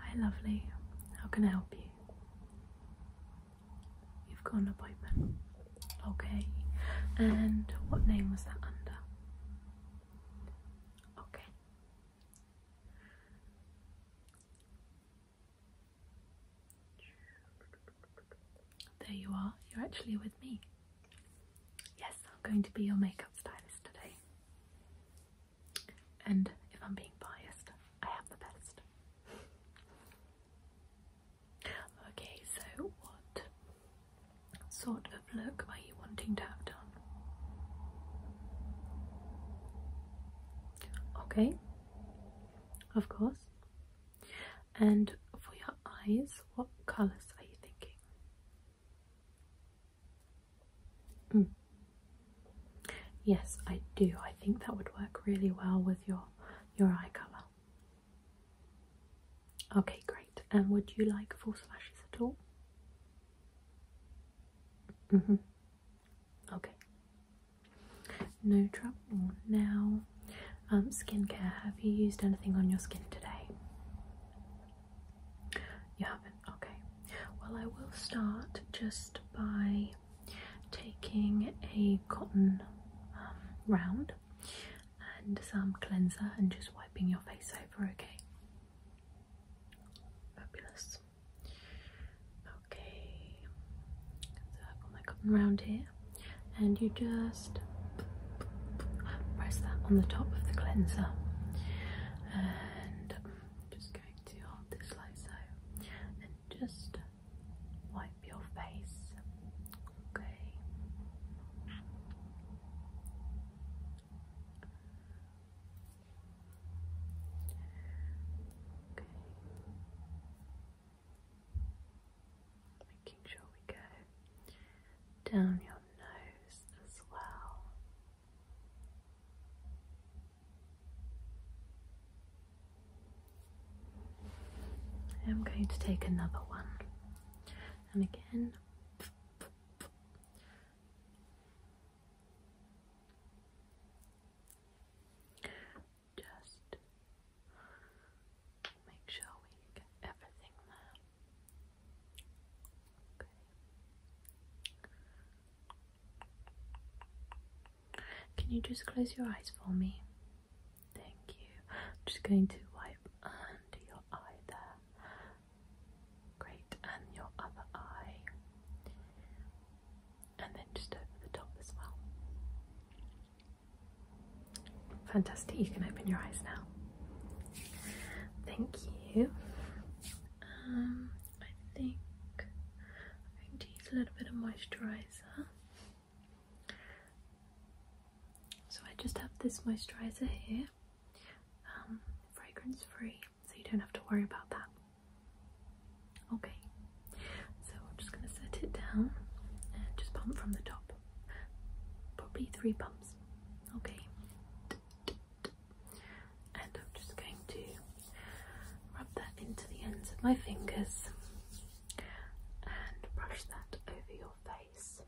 Hi, lovely. How can I help you? You've got an appointment. Okay. And what name was that under? Okay. There you are. You're actually with me. Yes, I'm going to be your makeup stylist today. And if I'm being biased, I have the best. okay, so what sort of look are you wanting to have done? Okay, of course. And for your eyes, what colours are you thinking? Mm. Yes, I do. I think that would work really well with your your eye colour. Okay, great. And would you like false lashes at all? Mm-hmm. Okay. No trouble. Now, um, skincare. Have you used anything on your skin today? You haven't? Okay. Well, I will start just by taking a cotton um, round and some cleanser and just wiping your face over, okay? Fabulous. Okay, so I've got my cotton round here, and you just press that on the top of the cleanser and just going to hold this so and just wipe your face, okay? Okay. Making sure we go down your nose as well. I'm going to take another one, and again. Just make sure we get everything there. Okay. Can you just close your eyes for me? Thank you. I'm just going to wipe under your eye there. Great, and your other eye. And then just over the top as well. Fantastic, you can open your eyes now. Thank you. Um, I think I'm going to use a little bit of moisturizer. So I just have this moisturizer here, um, fragrance free, so you don't have to worry about that. Okay, so I'm just going to set it down and just pump from the top. Probably three pumps. Okay and I'm just going to rub that into the ends of my fingers and brush that over your face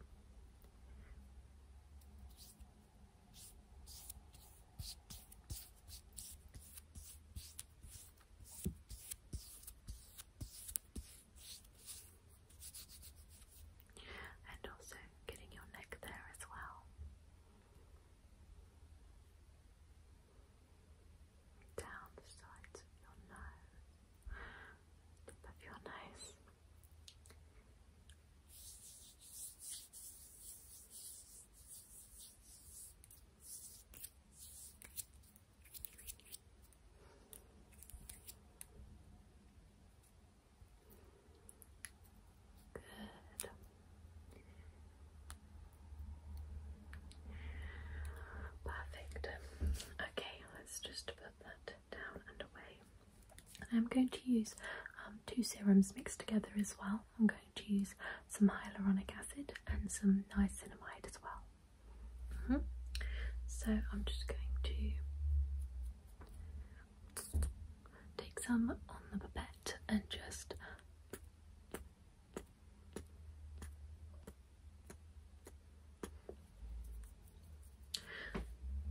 and also getting your neck there as well. Down the sides of your nose, tip your nose. Perfect. Okay, let's just put that down and away. I'm going to use um, two serums mixed together as well. I'm going to use some hyaluronic acid and some niacinamide as well. Mm-hmm. So I'm just going to Take some on the pipette and just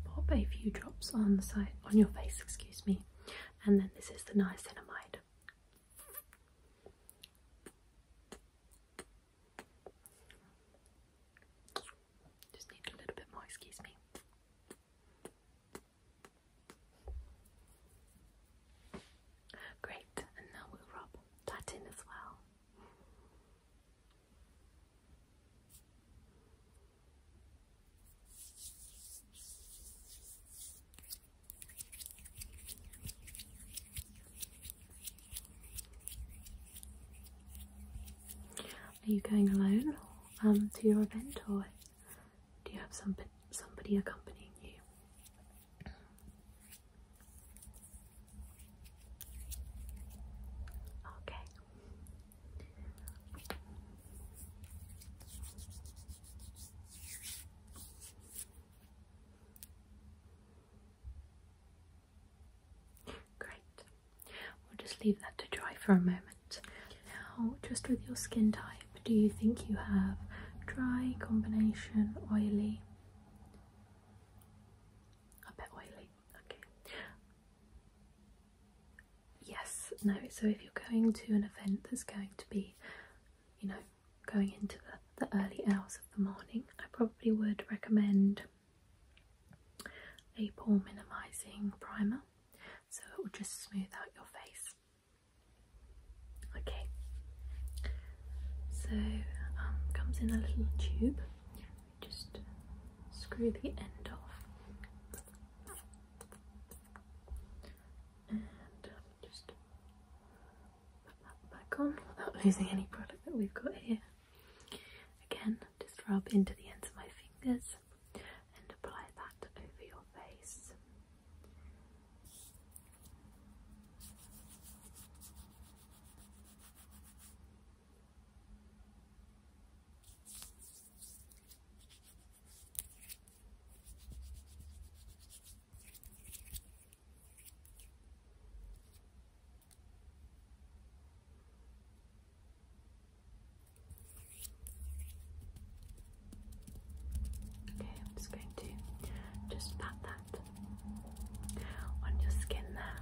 pop a few drops on the side on your face, excuse me. And then this is the niacinamide. Just need a little bit more, excuse me. Great, and now we'll rub that in as well. Are you going alone? Um, to your event, or do you have some, somebody accompanying you? Okay. Great. We'll just leave that to dry for a moment. Now, just with your skin type, do you think you have dry, combination, oily? A bit oily, okay. Yes, no, so if you're going to an event that's going to be, you know, going into the, the early hours of the morning, I probably would recommend a pore minimizing primer so it will just smooth out your face. Okay, so um, comes in a little tube, just screw the end off and um, just put that back on without losing any product that we've got here. Again, just rub into the ends of my fingers and apply that over your face. Okay, I'm just going to just pat that on your skin there.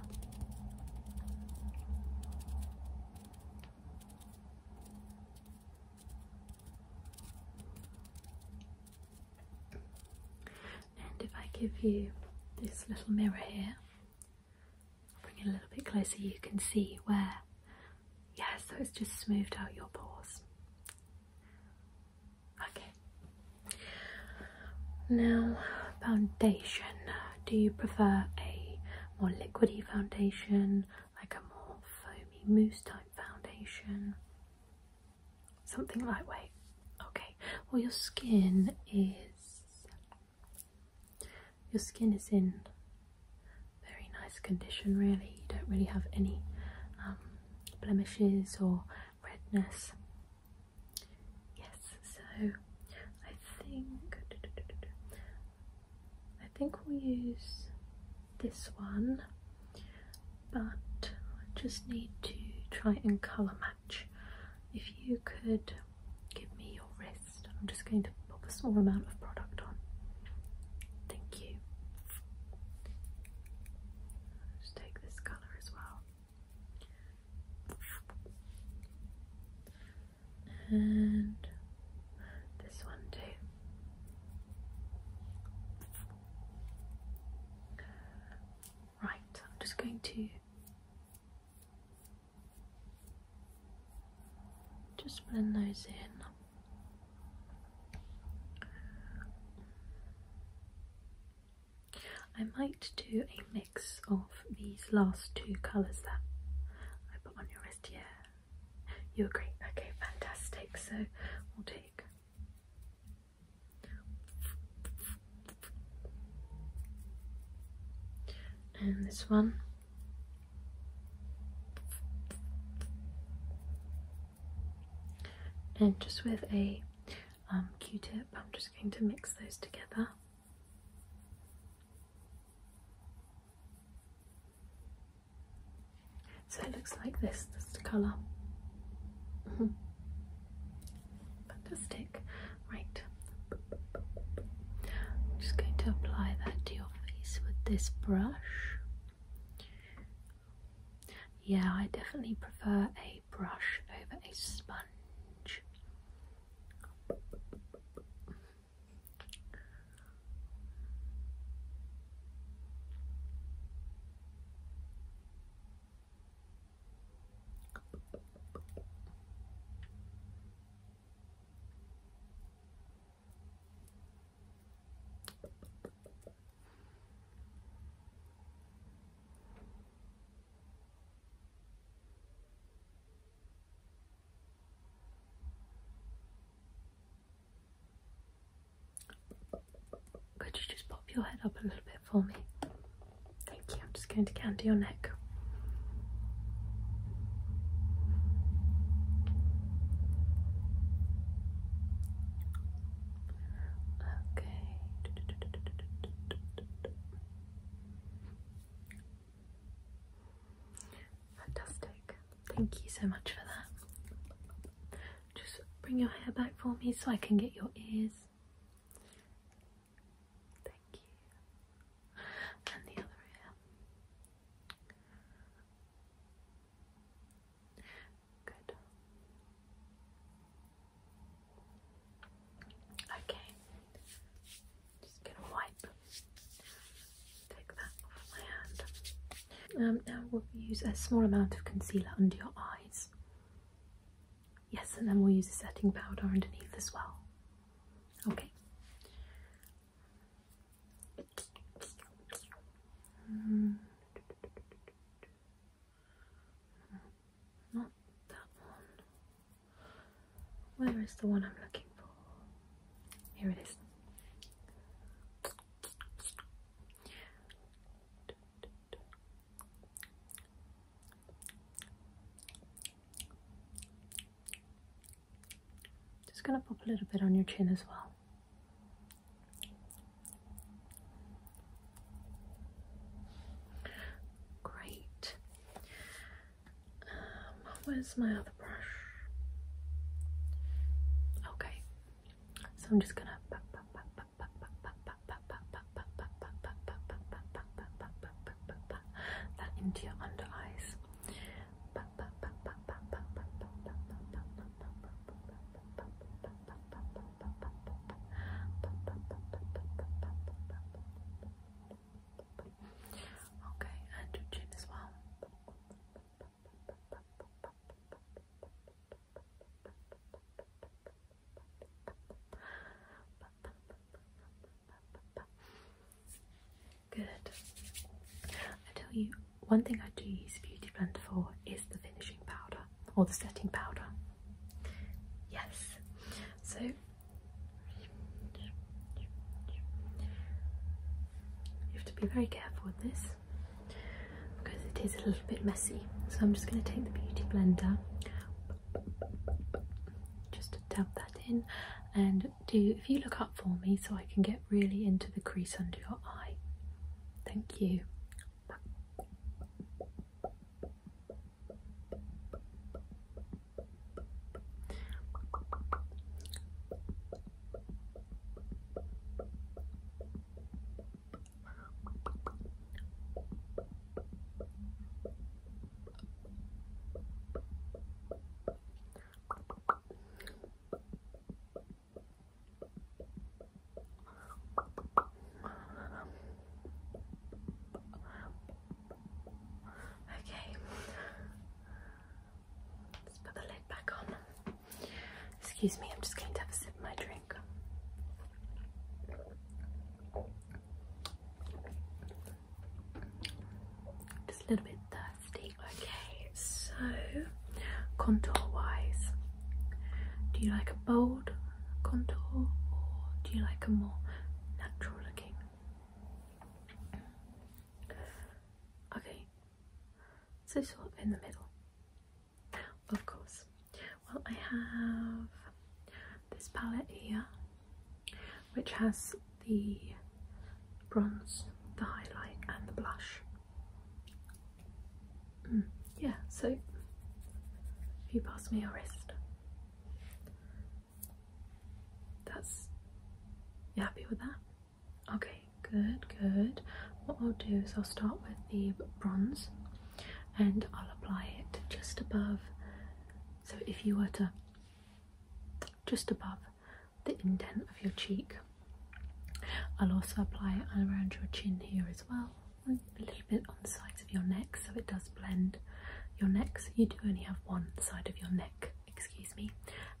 And if I give you this little mirror here, bring it a little bit closer, you can see where, yes, so it's just smoothed out your pores. Okay, now foundation. Do you prefer a more liquidy foundation, like a more foamy mousse type foundation? Something lightweight. Okay, well, your skin is your skin is in very nice condition really you don't really have any um, blemishes or redness yes so I think I think we'll use this one but I just need to try and colour match if you could give me your wrist, I'm just going to put a small amount of product on. Thank you. Just take this colour as well. And this one too. Right, I'm just going to just blend those in. I might do a mix of these last two colours that I put on your wrist. Yeah, you agree? Okay, fantastic. So we'll take and this one and just with aq um, tip I'm just going to mix those together so it looks like this, that's the colour fantastic Right. I'm just going to apply that to your face with this brush. Yeah, I definitely prefer a brush over a sponge. Could you just pop your head up a little bit for me? Thank you. I'm just going to get under your neck. Okay. Fantastic. Thank you so much for that. Just bring your hair back for me so I can get your ears. Thank you. And the other ear. Good. Okay. Just gonna wipe. Take that off my hand. Um, now we'll use a small amount of concealer under your eyes. Yes, and then we'll use a setting powder underneath as well. Okay. Hmm. Not that one. Where is the one I'm looking for? Here it is. Just going to pop a little bit on your chin as well. Great. Um, where's my other brush? Okay, so I'm just going to that into your under eyes. Okay, and chin as well. Good. I tell you, one thing I do use Beauty Blender for is the finishing powder or the setting powder. Yes. So you have to be very careful with this because it is a little bit messy. So I'm just going to take the Beauty Blender just dab that in and do if you look up for me so I can get really into the crease under your eye thank you Okay, let's put the lid back on. Excuse me, I'm just going to have a sip of my drink. Just a little bit thirsty. Okay, so contour wise, do you like a bold contour or do you like a more natural looking? Okay, so sort in the middle. Of course, well, I have this palette here, which has the bronze, the highlight, and the blush. Mm, yeah, so if you pass me your wrist, that's you happy with that? Okay, good, good. What I'll do is I'll start with the bronze and I'll apply it just above so if you were to just above the indent of your cheek I'll also apply it around your chin here as well a little bit on the sides of your neck so it does blend your necks. you do only have one side of your neck excuse me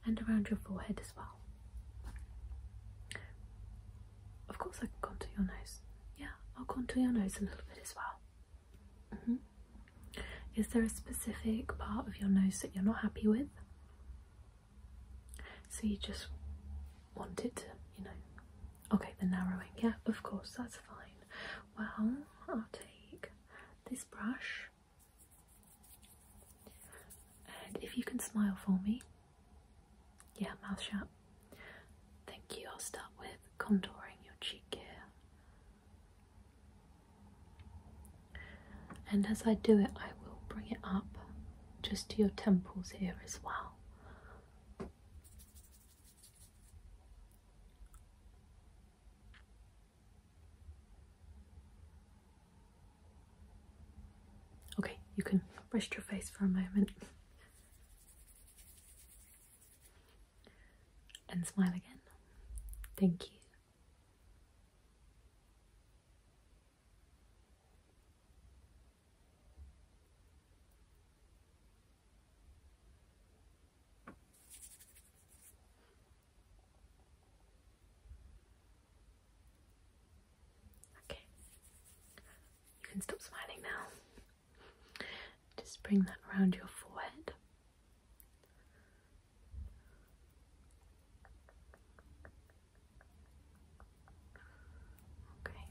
and around your forehead as well of course I can contour your nose yeah I'll contour your nose a little bit as well Mm-hmm. Is there a specific part of your nose that you're not happy with? So you just want it to, you know. Okay, the narrowing. Yeah, of course, that's fine. Well, I'll take this brush. And if you can smile for me. Yeah, mouth shut. Thank you. I'll start with contouring your cheek here. And as I do it, I will bring it up just to your temples here as well. Okay, you can rest your face for a moment and smile again. Thank you. Okay. You can stop smiling now. Just bring that around your forehead. Okay.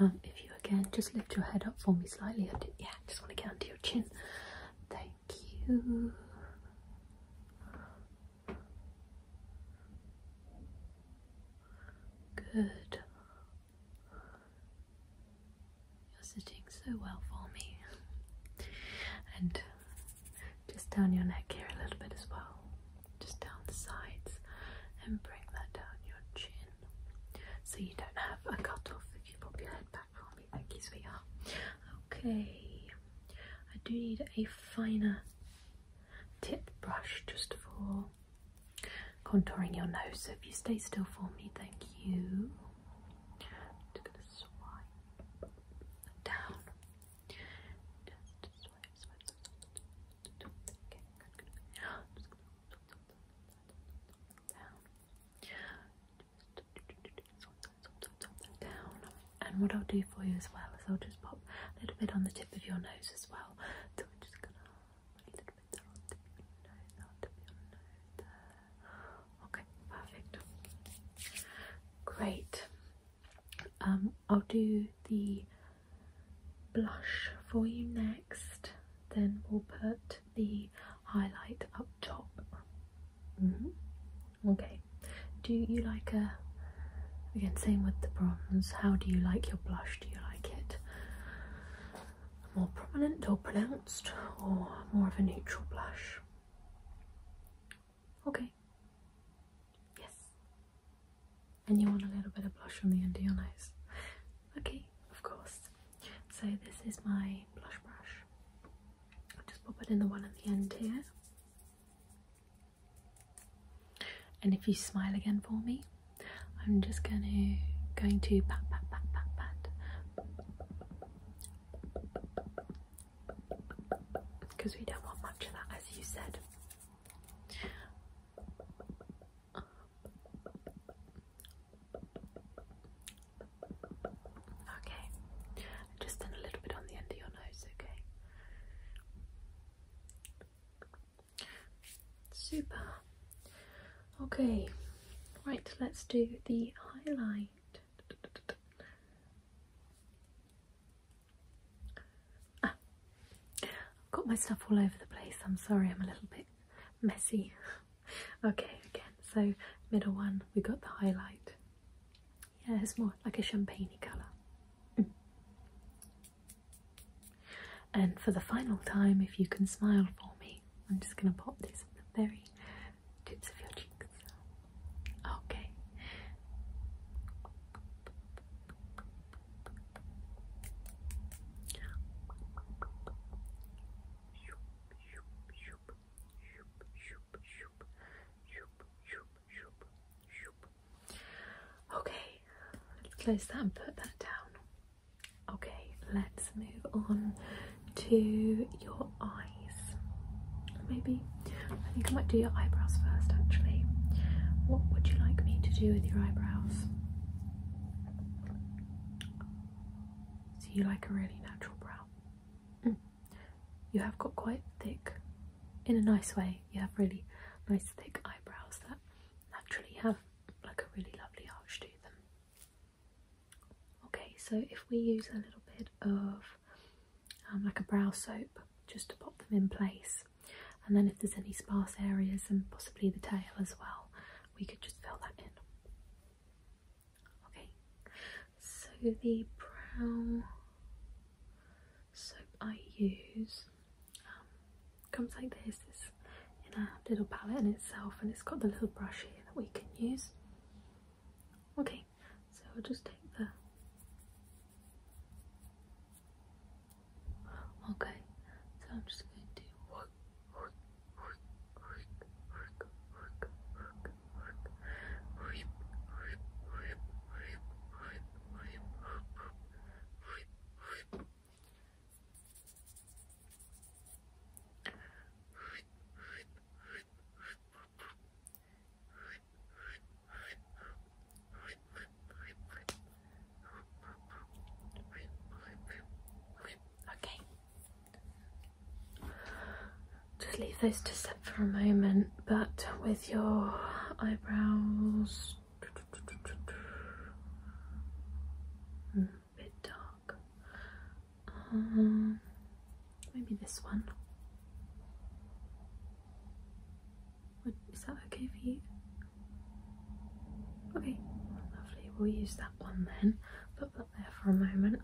Um, if you again just lift your head up for me slightly, I yeah, just want to get under your chin. Thank you. Good. You're sitting so well for me. And just down your neck here a little bit as well. Just down the sides and bring that down your chin. So you don't have a cut off if you pop your head back for me. Thank you, sweetheart. Okay. I do need a finer tip brush just for contouring your nose. So if you stay still for me, thank you. just gonna swipe down. down. And what I'll do for you as well is I'll just pop a little bit on the tip of your nose as well just gonna a little bit down to your nose, down Okay, perfect. Great. Um, I'll do the blush for you next. Then we'll put the highlight up top. Mm-hmm. Okay. Do you like a Again, same with the bronze. How do you like your blush? Do you like it more prominent or pronounced, or more of a neutral blush? Okay. Yes. And you want a little bit of blush on the end of your nose. Okay, of course. So this is my blush brush. I'll just pop it in the one at the end here. And if you smile again for me, I'm just gonna going to pat pat pat pat pat because we don't want much of that as you said. Okay, I've just done a little bit on the end of your nose, okay? Super. Okay, right, let's do the highlight. Ah, I've got my stuff all over the place. I'm sorry, I'm a little bit messy. okay, again, so middle one, we got the highlight. Yeah, it's more like a champagne colour. Mm. And for the final time, if you can smile for me, I'm just going to pop this on the very tips of your cheeks. Okay. Okay, let's close that and put that down. Okay, let's move on to your eyes. Maybe I think I might do your eyebrows first actually. What would you like me to do with your eyebrows? So you like a really natural brow. Mm. You have got quite thick in a nice way you have really nice thick eyebrows that naturally have like a really lovely arch to them. Okay, so if we use a little bit of um, like a brow soap just to pop them in place, and then if there's any sparse areas and possibly the tail as well, we could just fill that in. Okay, so the brow soap I use comes like this. It's in a little palette in itself and it's got the little brush here that we can use. Okay, so I'll just take the... Okay, so I'm just going to... Okay, just leave those to sit for a moment but with your eyebrows hmm, bit dark. Um, maybe this one. is that okay for you? Okay, lovely. We'll use that one then. Put that there for a moment.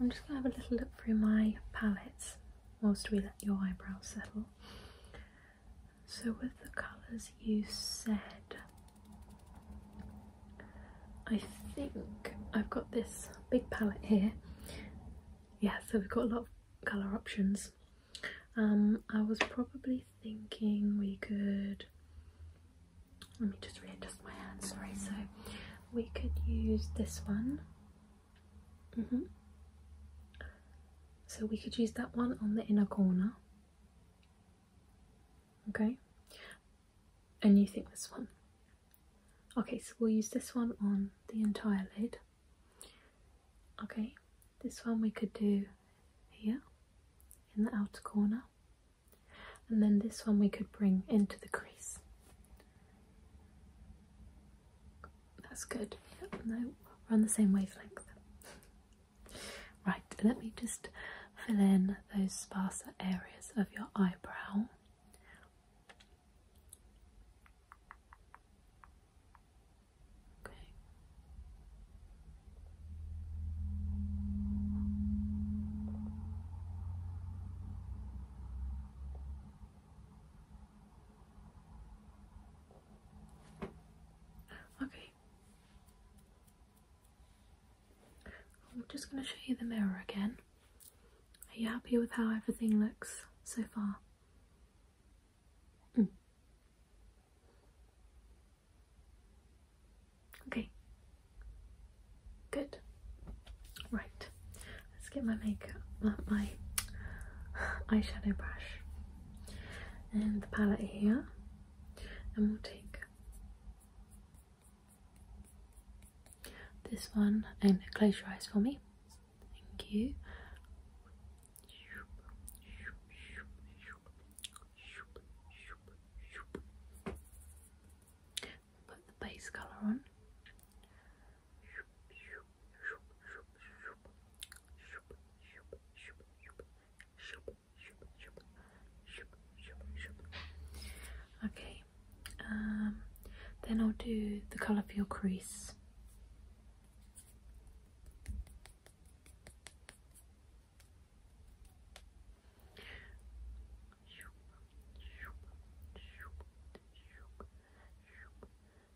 I'm just gonna have a little look through my palettes whilst we let your eyebrows settle. So, with the colours you said, I think I've got this big palette here. Yeah, so we've got a lot of colour options. Um, I was probably thinking we could. Let me just readjust my hand, sorry. So, we could use this one, Mm -hmm. So we could use that one on the inner corner. Okay. And you think this one. Okay, so we'll use this one on the entire lid. Okay, this one we could do here in the outer corner. And then this one we could bring into the crease. That's good. Yep, we're on the same wavelength. Right, let me just fill in those sparser areas of your eyebrow. Okay. Okay. I'm just going to show you the mirror again. Are you happy with how everything looks so far? Hmm. Okay. Good. Right. Let's get my makeup, my, eyeshadow brush and the palette here, and we'll take this one and close your eyes for me. Thank you. Put the base colour on. Okay, um, then I'll do the colour for your crease.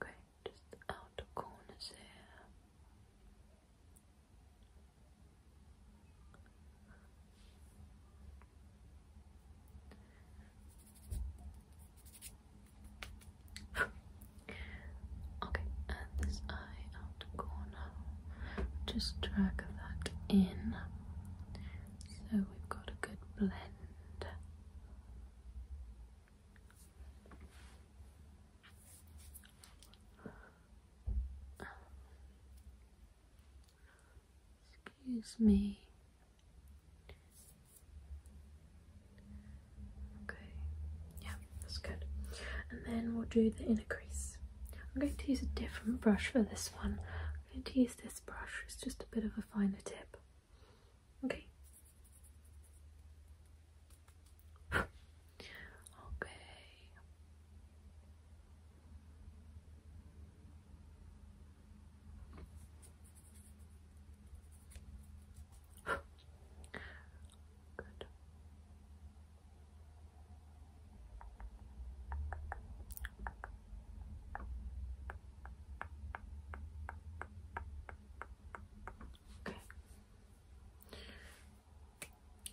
Okay, just the corners here. okay, and this eye out corner, just drag that in so we've got a good blend. Excuse me. Okay, yeah, that's good. And then we'll do the inner crease. I'm going to use a different brush for this one. I'm going to use this brush, is just a bit of a finer tip. Okay. okay. Good.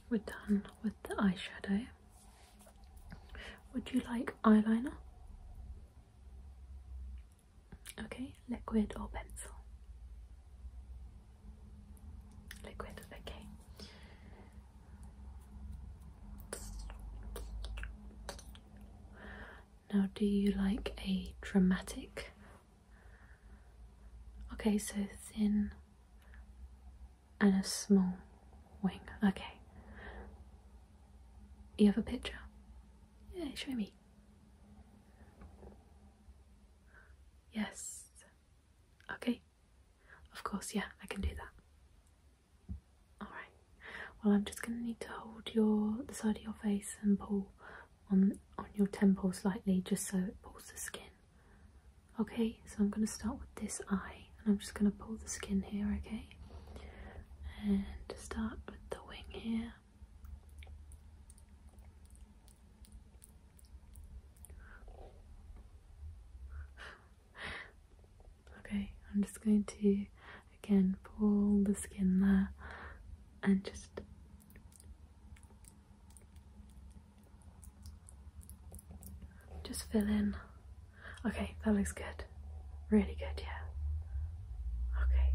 We're done with the eyeshadow. Would you like eyeliner? Okay, liquid or pencil? Liquid, okay. Now, do you like a dramatic? Okay, so thin and a small wing. Okay. You have a picture? Yeah, show me. Yes. Okay. Of course, yeah, I can do that. All right. Well, I'm just going to need to hold your the side of your face and pull on on your temple slightly, just so it pulls the skin. Okay. So I'm going to start with this eye, and I'm just going to pull the skin here. Okay. And start with the wing here. Okay, I'm just going to again pull the skin there and just just fill in. Okay, that looks good. Really good, yeah. Okay.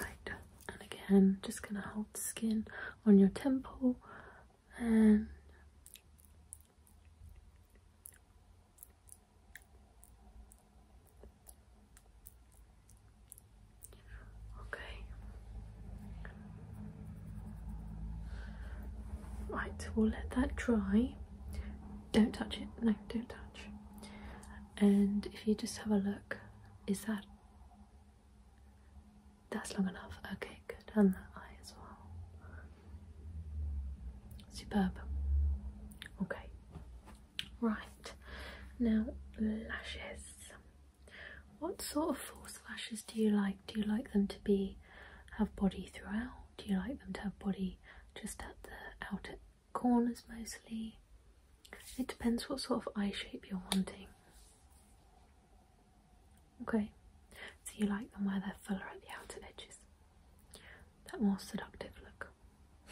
Right, and again, just gonna hold skin on your temple and okay. Right, we'll let that dry. Don't touch it. No, don't touch. And if you just have a look, is that that's long enough. Okay, good. And that eye as well. Superb. Okay. Right. Now, lashes. What sort of false lashes do you like? Do you like them to be have body throughout? Do you like them to have body just at the outer corners mostly? It depends what sort of eye shape you're wanting. Okay, so you like them where they're fuller at the outer edges, that more seductive look.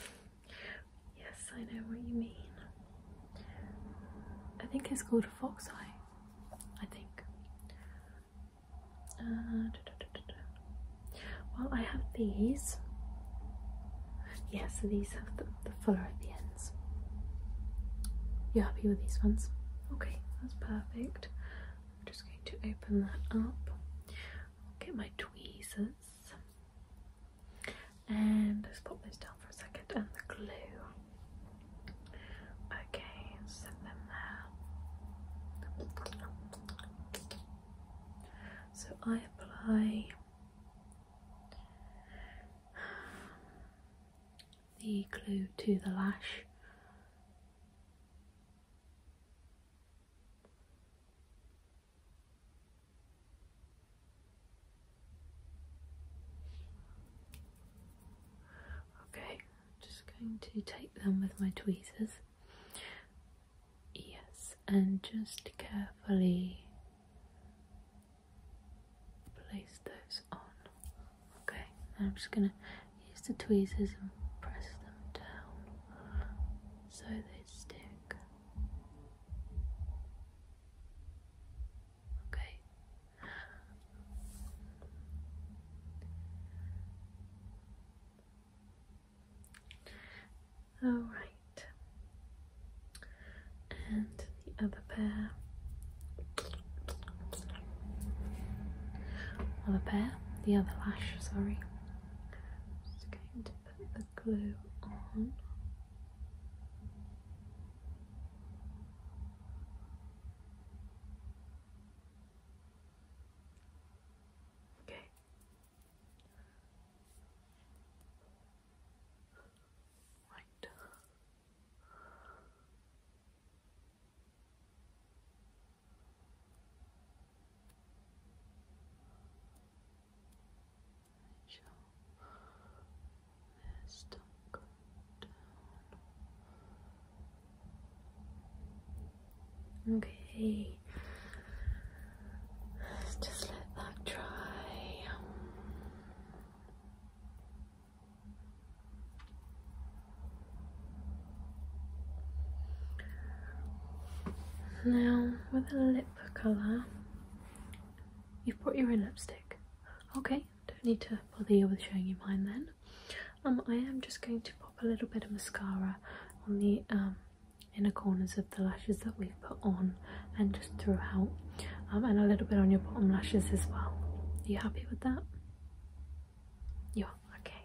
Yes, I know what you mean. I think it's called a fox eye. I think. Uh, well, I have these. Yes, yeah, so these have the, the fuller at the end sense. You happy with these ones? Okay, that's perfect. I'm just going to open that up. i get my tweezers and let's pop those down for a second and the glue. Okay, set them there. So I apply the glue to the lash. Okay, just going to take them with my tweezers. Yes, and just carefully place those on. Okay, I'm just gonna use the tweezers and press them down so they stick. Okay. All right. And the other pair. Other pair, the other lash, sorry. Just going to put the glue on. Okay. Right. Let your stomach go down. Okay, just let that dry. Now, with a lip colour, you've brought your own lipstick. Okay, don't need to bother you with showing you mine then. Um, I am just going to pop a little bit of mascara on the um, inner corners of the lashes that we've put on and just throw out. Um, and a little bit on your bottom lashes as well. Are you happy with that? Yeah, okay.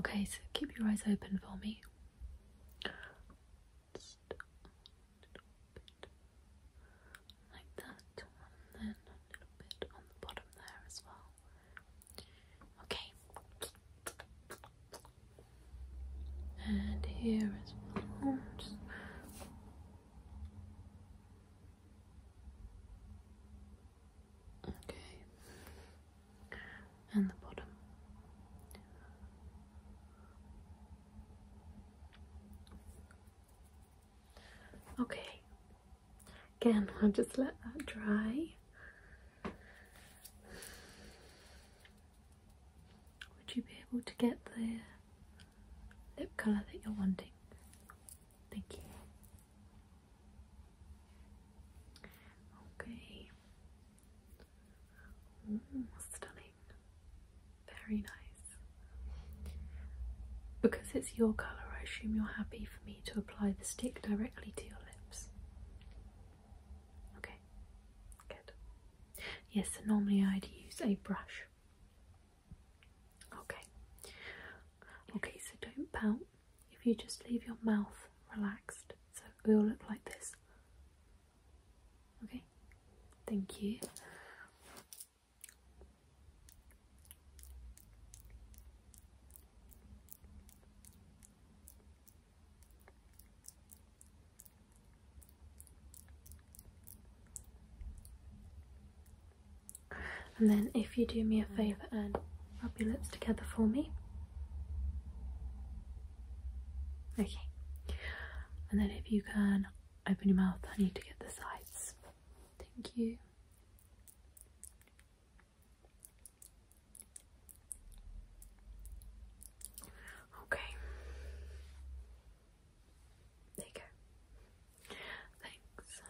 Okay, so keep your eyes open for me. Like that, and then a little bit on the bottom there as well. Okay and here is as well. Just okay, and the bottom. Okay, again, I'll just let that dry would you be able to get the lip colour that you're wanting? Thank you. Okay. stunning. Very nice. Because it's your colour, I assume you're happy for me to apply the stick directly to your lips. Okay, good. Yes, normally I'd use a brush. Okay. Okay, so don't pout. If you just leave your mouth relaxed, so it will look like this. Okay, thank you. And then, if you do me a favour and rub your lips together for me. Okay. And then, if you can open your mouth, I need to get the sides. Thank you. Okay. There you go. Thanks.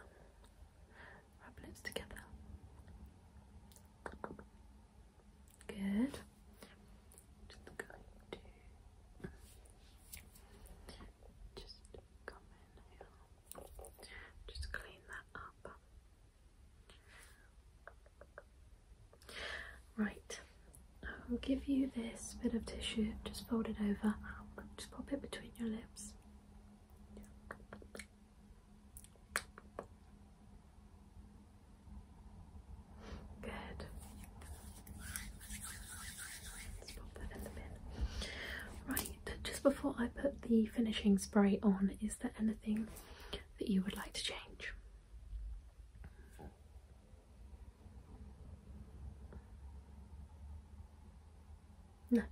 Rub lips together. Good. Just clean that up. Right, I'll give you this bit of tissue, just fold it over, just pop it between your lips. Good. Right, just before I put the finishing spray on, is there anything that you would like to change? No.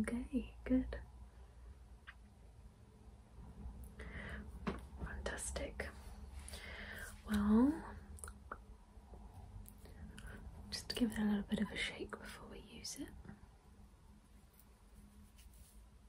Okay, good. Fantastic. Well, just give it a little bit of a shake before we use it.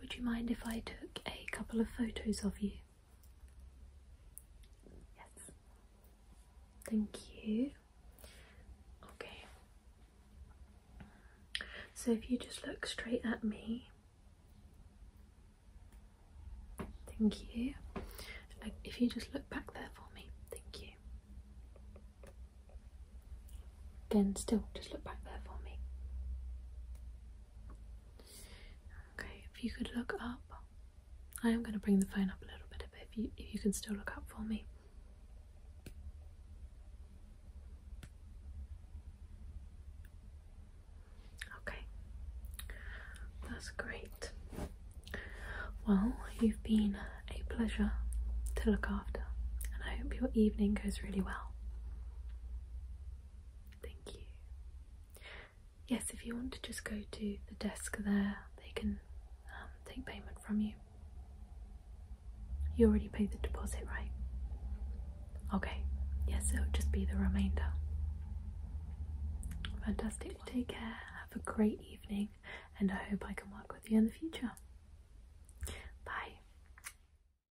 Would you mind if I took a couple of photos of you? Yes. Thank you. Okay. So if you just look straight at me. Thank you. Uh, if you just look back there for me. Thank you. Again, still, just look back there for me. Okay, if you could look up, I am going to bring the phone up a little bit, but if you, if you can still look up for me. Okay, that's great. Well, you've been a pleasure to look after, and I hope your evening goes really well. Thank you. Yes, if you want to just go to the desk there, they can um, take payment from you. You already paid the deposit, right? Okay, yes, it'll just be the remainder. Fantastic. take care, have a great evening, and I hope I can work with you in the future. Bye.